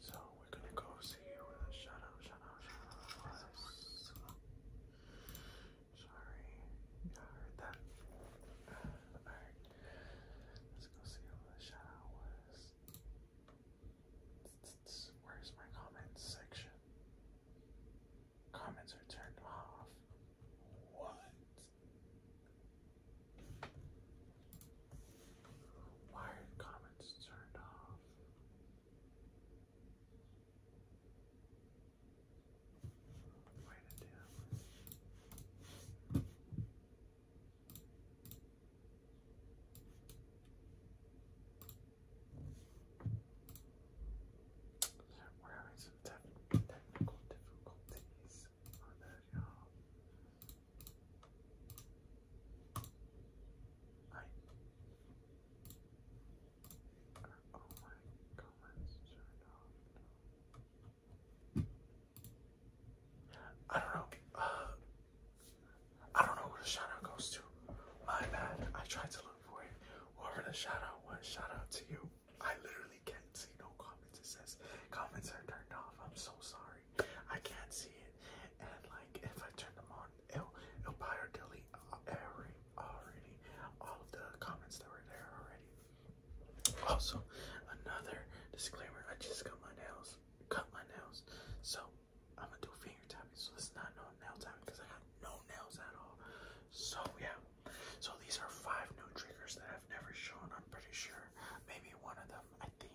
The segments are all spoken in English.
So we're gonna go see where the shadow, shadow, shadow was. Sorry, yeah, I heard that. Alright, let's go see where the shadow was. Where's my comments section? Comments are turned off. What? Why are the comments turned off? Way to do it. We're having some technical difficulties on that, y'all. I don't know. Uh, I don't know who the shout goes to. My bad. I tried to look for it. Whoever the shout was, shout to you. I literally can't see no comments. It says comments are turned off. I'm so sorry. I can't see it. And like if I turn them on, it'll it'll buy delete every already all the comments that were there already. Also, another disclaimer, I just cut my nails. Cut my nails. So I'm gonna do finger tapping, so it's not no nail tapping because I have no nails at all. So yeah. So these are five new triggers that I've never shown, I'm pretty sure. Maybe one of them I think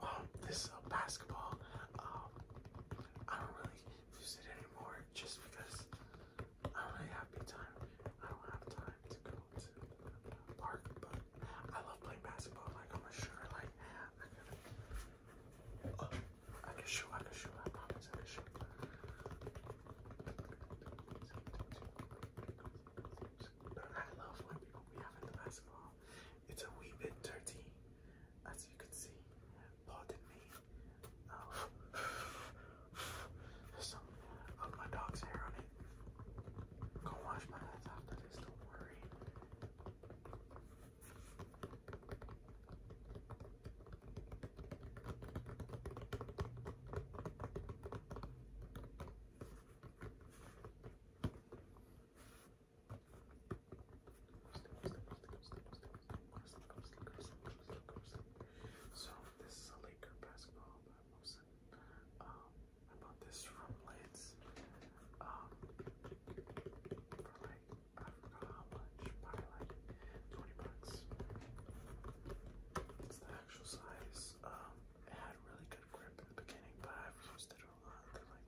Um, this uh, basketball, um, I don't really use it anymore just because I don't have time. I don't have time to go to the park, but I love playing basketball. Like, I'm a Like, I could, uh, I could shoot, I could shoot, I promise I But I love when people be having the basketball. It's a wee bit dirty, as you can see. Pardon me. Oh. some of my dog's hair on it. Go wash my hands after this, don't worry. So this is a Laker basketball um, I bought this from Lids. Um, I forgot how much, probably twenty bucks. It's the actual size. Um, it had really good grip in the beginning, but I've used it a lot.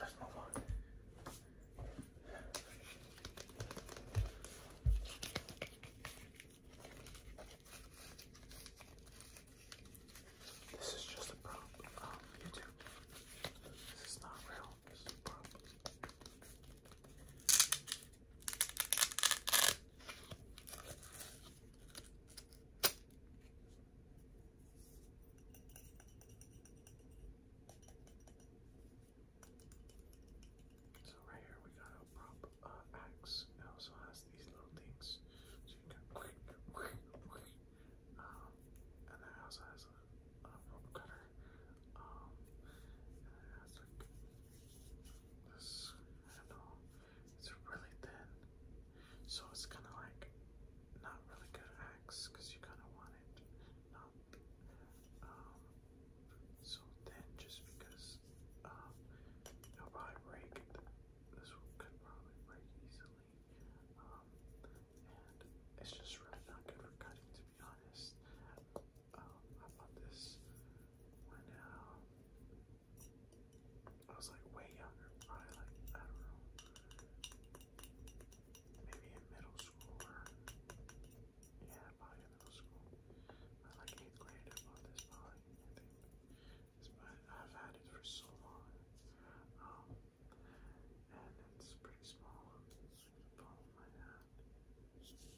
let's move on. This is just a problem um, on YouTube. This is not real. This is a prop. So right here we got a prop uh, axe. It also has these little things, Um, and it also has a, a cutter. Um, this, I don't know, it's really thin. So it's kind of like not really good X because you kind of want it not um, so thin just because um, it'll probably break. This could probably break easily. Um, and it's just really not good for cutting to be honest um, I bought this when I was like way younger, probably like, I don't know, maybe in middle school or, yeah, probably middle school. I like 8th grade, I bought this probably, But I've had it for so long, um, and it's pretty small. It's the palm of my hand.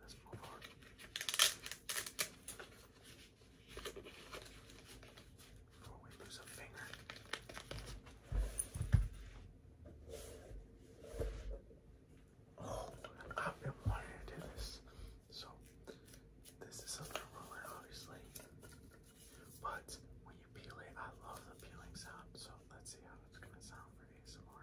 let's move on. Before we lose a finger. Oh, I've been wanting to this. So, this is a little obviously. But when you peel it, I love the peeling sound. So let's see how it's going to sound for ASMR.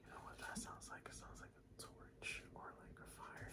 You know what that sounds like? It sounds like a torch or like a fire.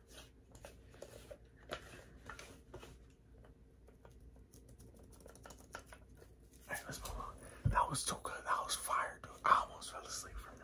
That was too good. That was fire, dude. I almost fell asleep from that.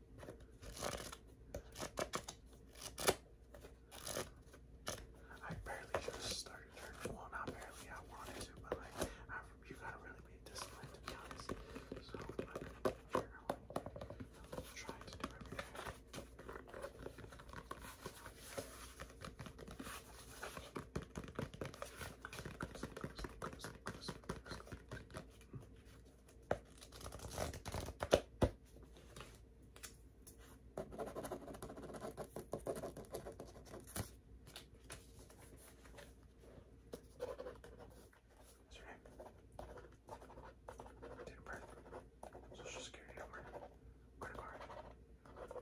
I barely just started turning. Well, not barely. I wanted to, but like, you gotta really be disciplined to So I'm trying to do everything. What's your Social security number? Credit card?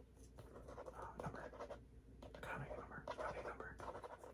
Uh, number? Economic number? Routing number?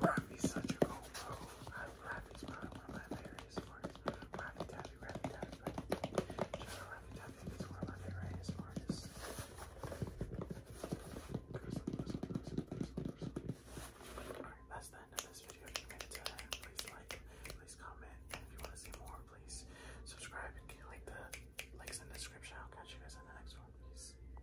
Ravi's such a cool bro. Ravi's probably one of my favorite artists. Ravi Taffy, Ravi Taffy, Ravi Taffy. Shout out Ravi Taffy, he's one of my favorite artists. Alright, that's the end of this video. If you made it to the end, please like, please comment, if you want to see more, please subscribe and click the links in the description. I'll catch you guys in the next one. Peace.